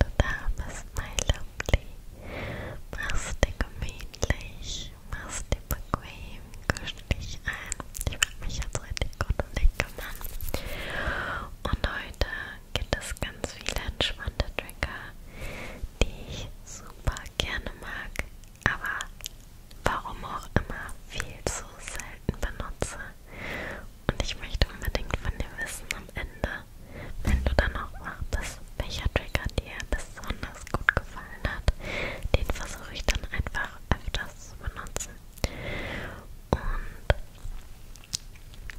du da bist, my lovely. Mach's dir gemütlich, mach's dir bequem, kusch dich ein. Ich mag mich jetzt richtig gut um dich kümmern. Und heute gibt es ganz viele entspannte Trigger, die ich super gerne mag, aber warum auch immer viel zu selten benutze und ich möchte unbedingt von dir wissen am Ende, wenn du dann auch wach bist, welcher Trigger dir besonders gut gefallen hat. Den versuche ich dann einfach öfters zu benutzen. Und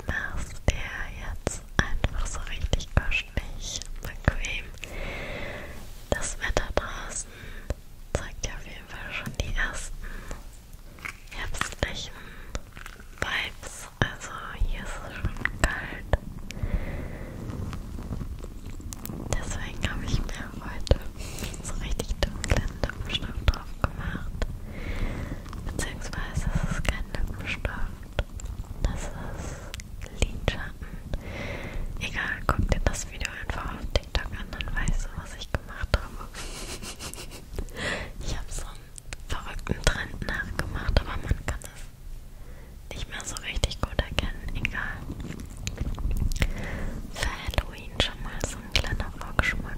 machst dir jetzt einfach so richtig kuschelig, bequem. Das Wetter draußen zeigt ja auf jeden Fall schon die ersten herbstlichen Vibes ist. Also hier ist es schon kalt. Deswegen habe ich mir heute so richtig dunklen Lippenstift drauf gemacht. Beziehungsweise es ist kein Lippenstift. Das ist Lidschatten. Egal, guck dir das Video einfach auf TikTok an, dann weißt du, was ich gemacht habe. ich habe so ein verrückten Trend nachgemacht, aber man kann es nicht mehr so richtig gut erkennen, egal. Für Halloween schon mal so ein kleiner Vorgeschmack.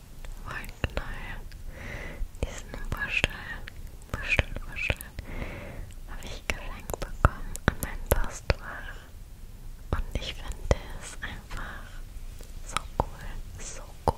Wollknäuel, diesen Buschel, Buschel, Buschel, habe ich geschenkt bekommen an mein Postfach. Und ich finde es einfach so cool, so cool.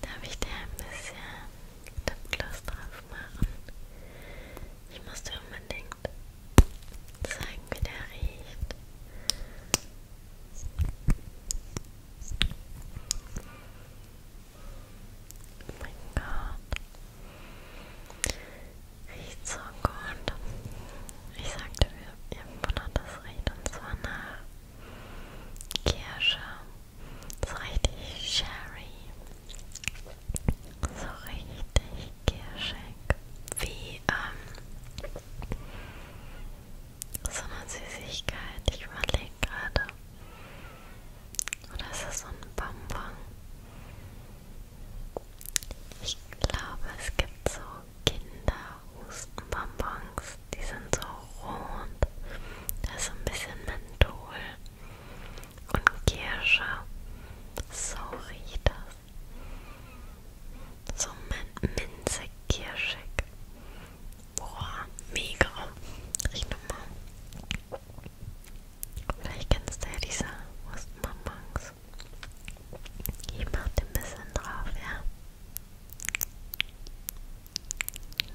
Darf ich dir ein bisschen Lipgloss drauf machen? Ich muss dir unbedingt zeigen, wie der riecht. Oh mein Gott. Riecht so gut. Ich sagte mir, ihr wundert das riecht und zwar nach Kirsche. So richtig Sherry. So richtig kirschig. Wie, ähm, so eine Süßigkeit. Ich überlege gerade. Oder ist das so ein Bonbon? Ich glaube, es gibt so Kinderhustenbonbons. Die sind so rot. Da ist so ein bisschen Menthol und Kirsche. So riecht das. So min minzig, kirschig. Boah, mega. Riecht nochmal. Vielleicht kennst du ja diese Wurstbonbons. Ich mach dir ein bisschen drauf, ja? Hm.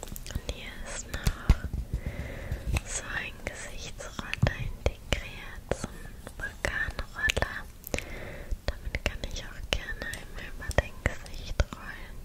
Und hier ist noch so ein Gesichtsroller integriert, so ein Vulkanroller. Damit kann ich auch gerne einmal über dein Gesicht rollen.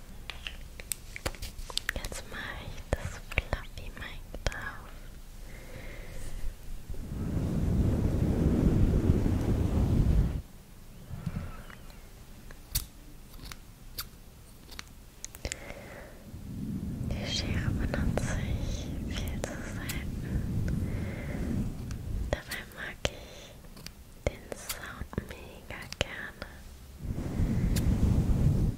Jetzt mache ich das Fluffy Mike drauf. Die Schere benutze ich viel zu selten. Dabei mag ich den Sound mega gerne.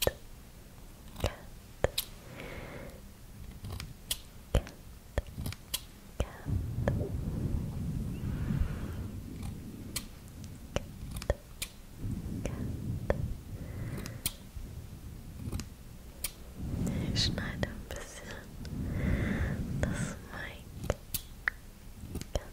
Cat. Cat. Cat. Cat. Ich schneide ein bisschen das Mic. Cat. Cat.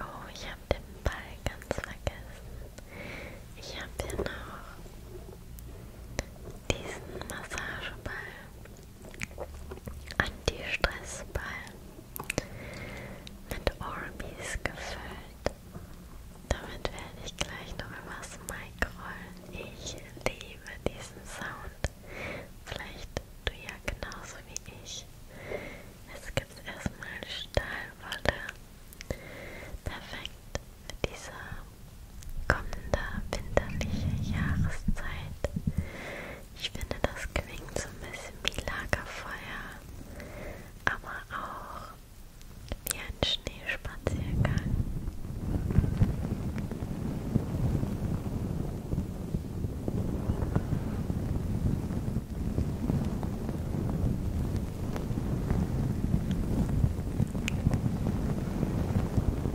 Oh, ich habe den Ball ganz vergessen. Ich habe hier noch diesen Massageball, Anti-Stressball mit Orbeez gefüllt. Damit werde ich gleich noch übers Mic rollen. Ich liebe diesen Sound. Vielleicht du ja genauso wie ich. Es gibt erstmal Stahlwolle. Perfekt für diese kommender winterliche Jahreszeit. Ich finde, das klingt so ein bisschen wie Lagerfeuer, aber auch wie ein Schneespaziergang.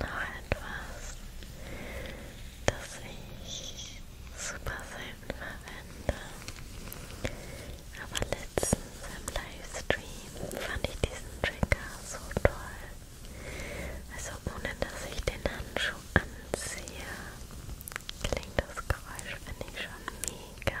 Noch etwas, das ich super selten verwende, aber letztens im Livestream fand ich diesen Trigger so toll also ohne dass ich den Handschuh anziehe, klingt das Geräusch, finde ich, schon mega.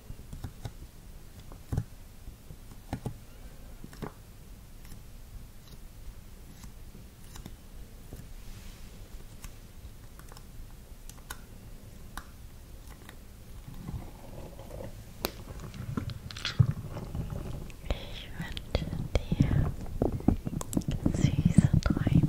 Ich wünsche dir süße Träume.